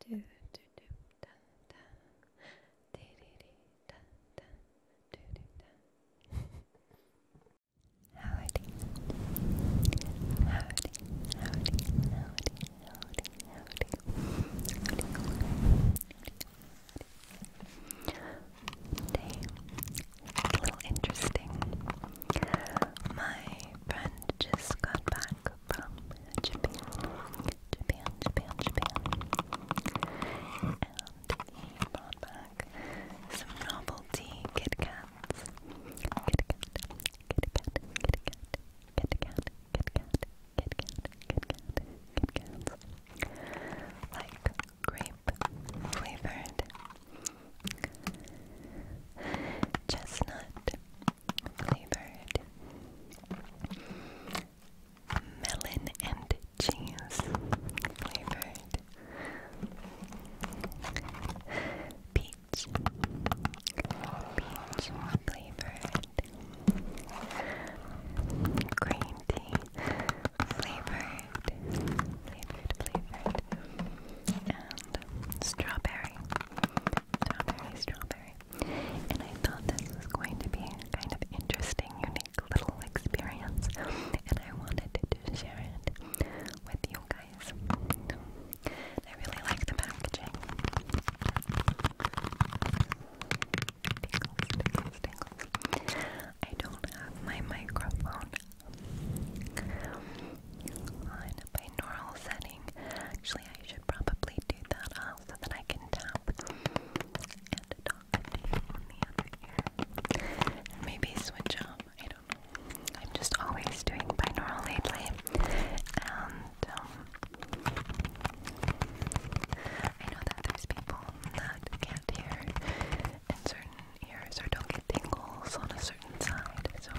do do do da da di di di da da do do da Howdy Howdy Howdy Howdy Howdy Howdy Howdy Howdy Day a little interesting my friend just got back from Japan, Japan, Japan, Japan. And he brought back some novelty Kit Kats. Kit Kat, Kit Kat, Kit Kat, Kit Kat, Like grape flavored. Chestnut flavored melon and cheese flavored peach peach flavored green tea flavored flavored flavored and strawberry Strawberry, strawberry. And I thought this was going to be kind of interesting, unique little experience. And I wanted to share it with you guys. I really like the packaging. I don't have my microphone on binaural setting. Actually, I should probably do that uh, so that I can tap and talk to the other ear. maybe switch up. I don't know. I'm just always doing binaural lately. um, I know that there's people that can't hear in certain ears or don't get tingles on a certain side. So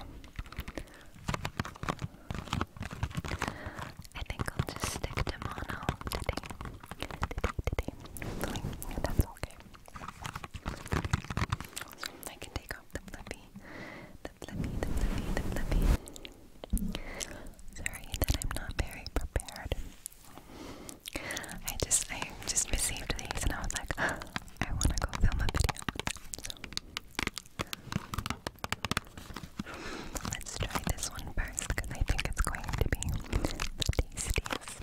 I think I'll just stick to mono today. that's okay. I can take off the flippy. The flippy, the flippy, the flippy. Sorry that I'm not very prepared. I just, I just received these and I was like, I want to go film a video. Let's try this one first because I think it's going to be the tastiest. Tastiest. Tastiest.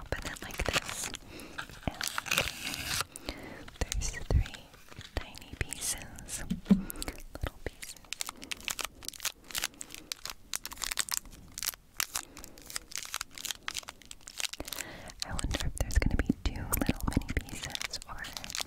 Open it like this. And there's three tiny pieces. Little pieces. I wonder if there's going to be two little mini pieces or just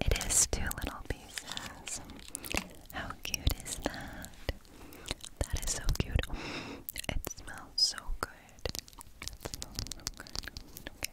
It is two little pieces. How cute is that? That is so cute. It smells so good. It smells so good. Okay.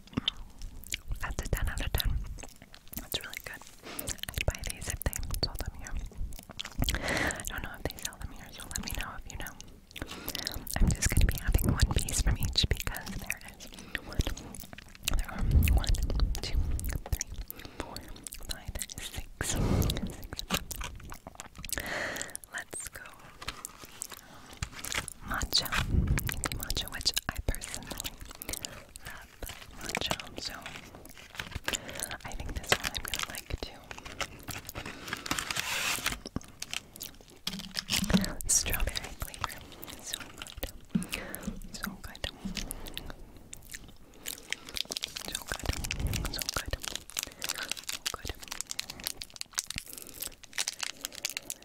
That's a 10 out of 10. That's really good. I'd buy these if they sold them here. I don't know if they sell them here, so let me know if you know. I'm just going to be having one piece from each because there is one, two, three, Let's go matcha, matcha, which I personally love matcha. So I think this one I'm gonna like too. Strawberry flavor, so good, so good, so good, so good. So good.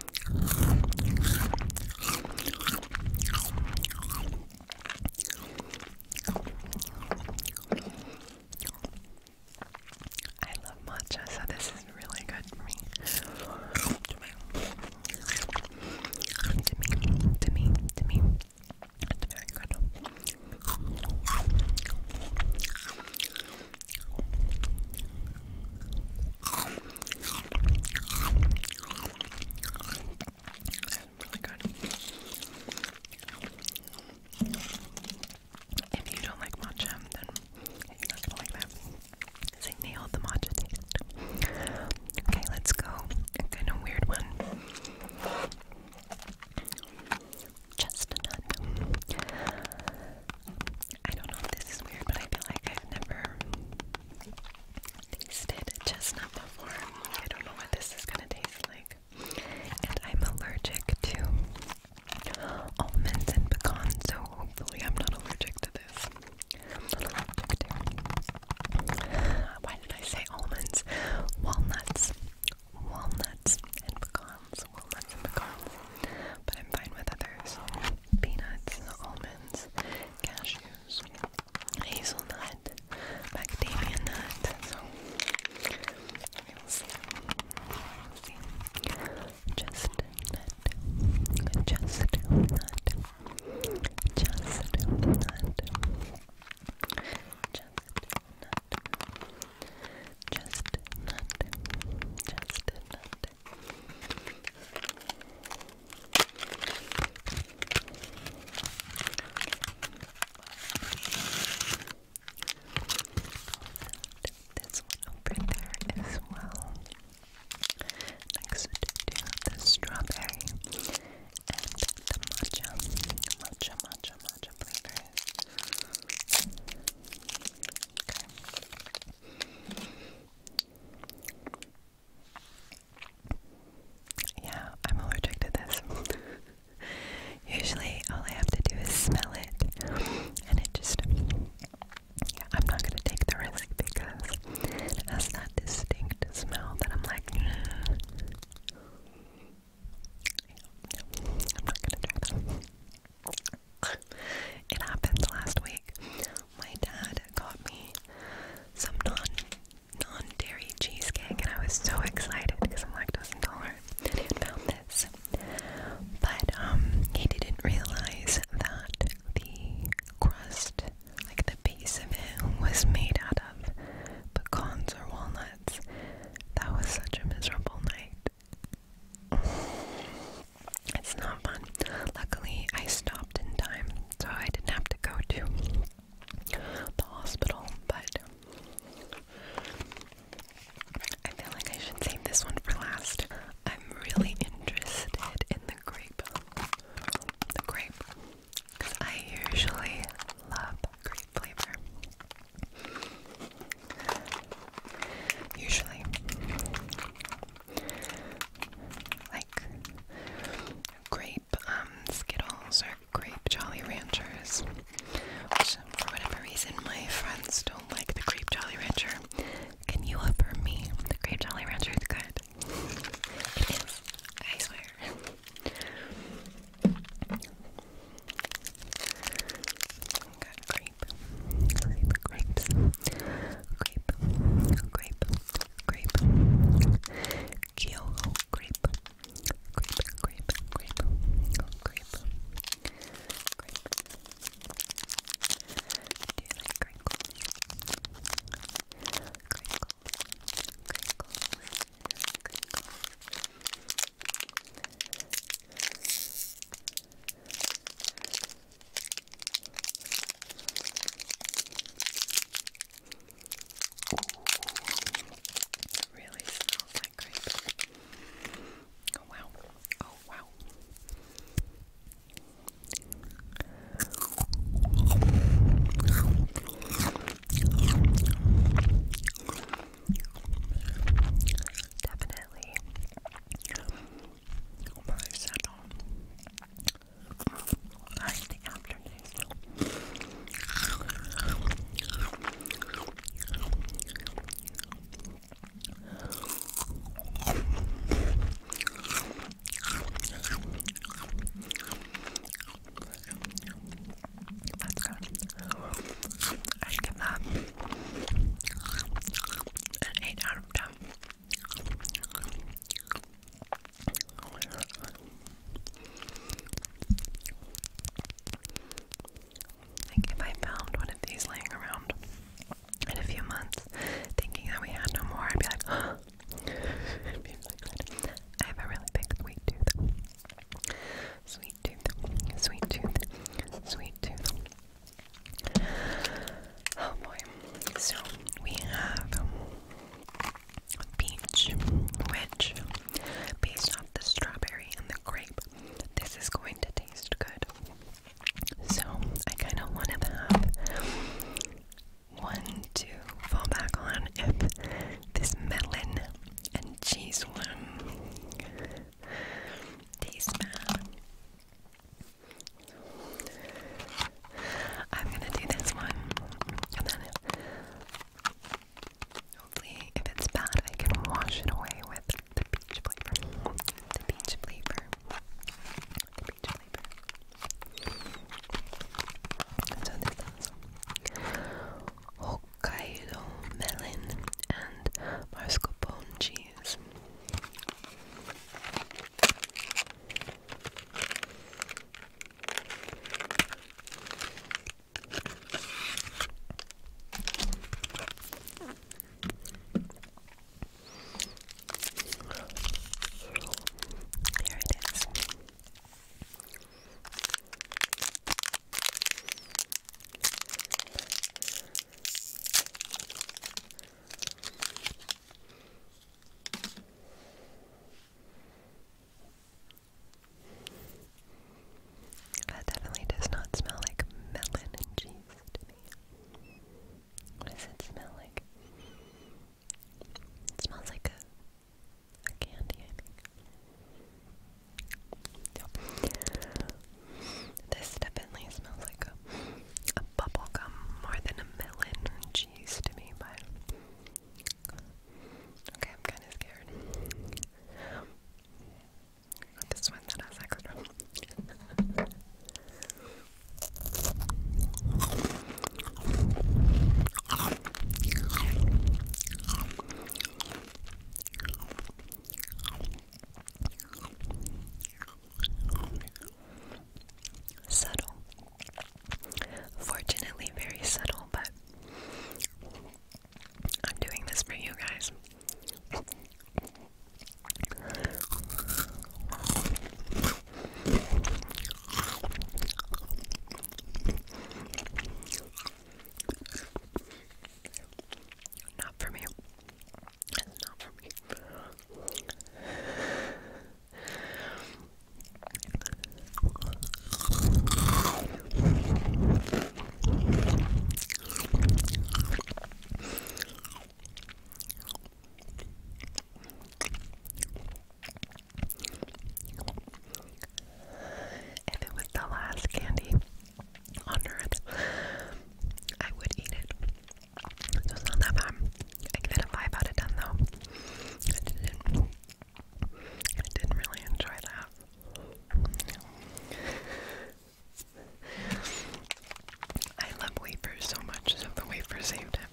I love matcha, so this is really good for me. To me, to me, to me, to me. It's very good. If you don't like matcha, then you're not gonna like that. They nailed the matcha taste. Okay, let's go. kind of weird one. Chestnut. I don't know if this is weird, but I feel like I've never tasted chestnut before. I don't know what this is gonna taste like. And I'm allergic to almonds and pecans, so hopefully I'm not allergic to this. I'm not allergic to. Why did I say almonds? Walnuts. Walnuts and pecans. Walnuts and pecans. But I'm fine with others. Peanuts, almonds, cashews, hazelnut, macadamia nut. So we will see. We'll see. Chestnut, chestnut, chestnut, chestnut. Chestnut, this one over there as well. Next to the strawberry and the matcha, matcha, matcha, matcha flavors. Yeah, I'm allergic to this. Usually, all I have to do is smell it, and it just. Yeah, I'm not gonna take the risk because it has that distinct smell that I'm like. Mm. Yeah, no, I'm not gonna try that. it happened last week. My dad got me some non non dairy cheesecake, and I was so excited because I'm lactose intolerant. And he had found this, but um, he didn't realize that the crust, like the base of it, was made out of pecans or walnuts. That was such a miserable night. It's not fun. Luckily, I stopped in time, so I didn't have to go to the hospital, but I feel like I should save this one for last. I'm really interested in the grape. The grape. Because I usually love grape flavor. Usually. Like grape um, Skittles or grape Jolly Ranchers. Which, for whatever reason, my friends don't like the grape Jolly Rancher. Can you offer me the grape Jolly Rancher? is good. It is. I swear. Got grape, grape, grapes, grape, grape, grape, Kyoho grape, grape, grape, grape, grape, grape. Do you like crinkles? Crinkles, crinkles, crinkles. It really smells like grape. Oh wow. Oh wow. Definitely. My settle. I think after this. That's I'd give an 8 out of if I found one of these laying around in a few months, thinking that we had no more, I'd be like, I have a really big sweet tooth. Sweet tooth, sweet tooth, sweet tooth, Oh boy. So we have peach, which based off the strawberry and the grape, this is going to taste good. So I kind of want to have one to fall back on if this melon and cheese one these man. I'm gonna do this one, and then hopefully, if it's bad, I can wash it away with the peach flavor. The peach flavor. The peach flavor. So this is Hokkaido melon and mascarpone cheese. Here it is. That definitely does not smell like melon and cheese to me. What does it smell like? It smells like a, candy, this definitely smells like a, bubble gum more than a melon and cheese to me, but okay, I'm kinda scared. this one that has extra. Subtle. Fortunately, very subtle, but I'm doing this for you guys. Not for me. It's not for me. If it was the last candy on earth, I would eat it. It was not that bad. I give it a out of 10 though. I didn't, really enjoy that. I love wafers so much, so the wafers saved him.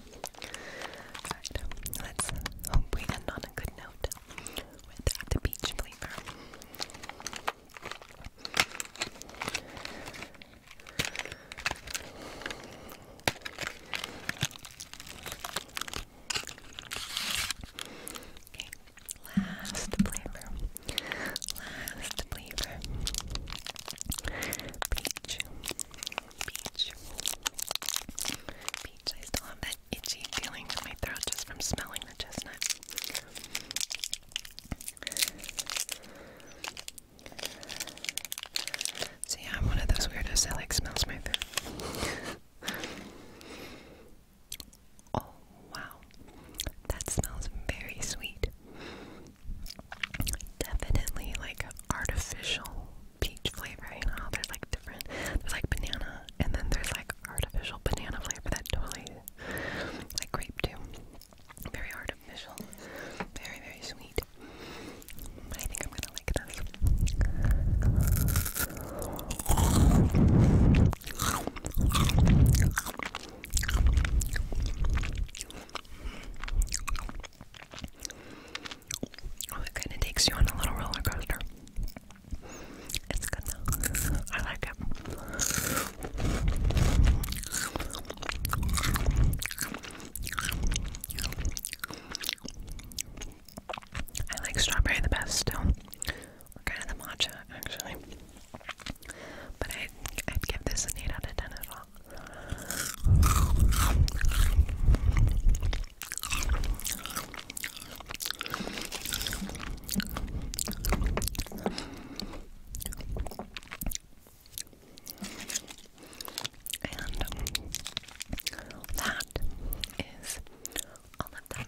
let's hope we end on a good note with the peach flavor. Okay, last flavor. Last flavor. Peach. Peach. Peach. I still have that itchy feeling in my throat just from smelling the chestnut. So I'm one of those weirdos that like smells my throat. oh wow, that smells very sweet. Definitely like artificial peach flavoring. Oh, there's like different. There's like banana, and then there's like artificial banana flavor that totally like grape too. Very artificial, very very sweet. I think I'm gonna like this. It kind of takes you on a little roller coaster. It's good though. I like it. I like strawberry the best still. kind of the matcha actually. But I, would give this an 8 out of 10 as well. And that is all of them.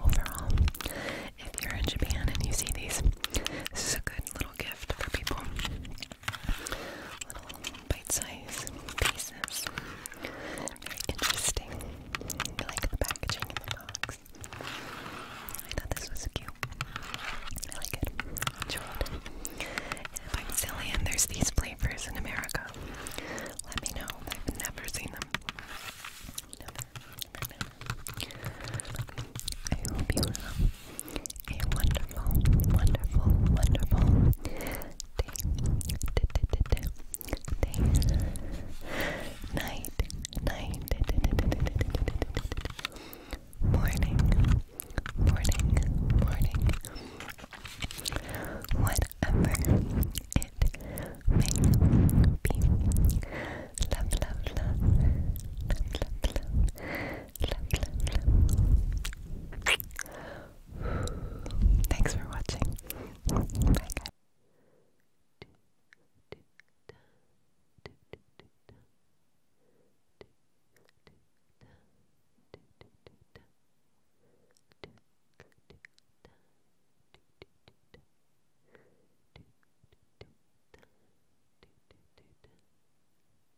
Overall, if you're in Japan and you see these, this is a good little gift for people little bite-sized pieces. Very interesting. I like the packaging I thought this was cute. I like it. Enjoy if I'm silly and there's these flavors in America, let me know. I've never seen them. I hope you love a wonderful, wonderful, wonderful day, night, night, morning, morning, morning, whatever it may be. Love, love, love, love, love, love. Thanks for watching. Bye guys.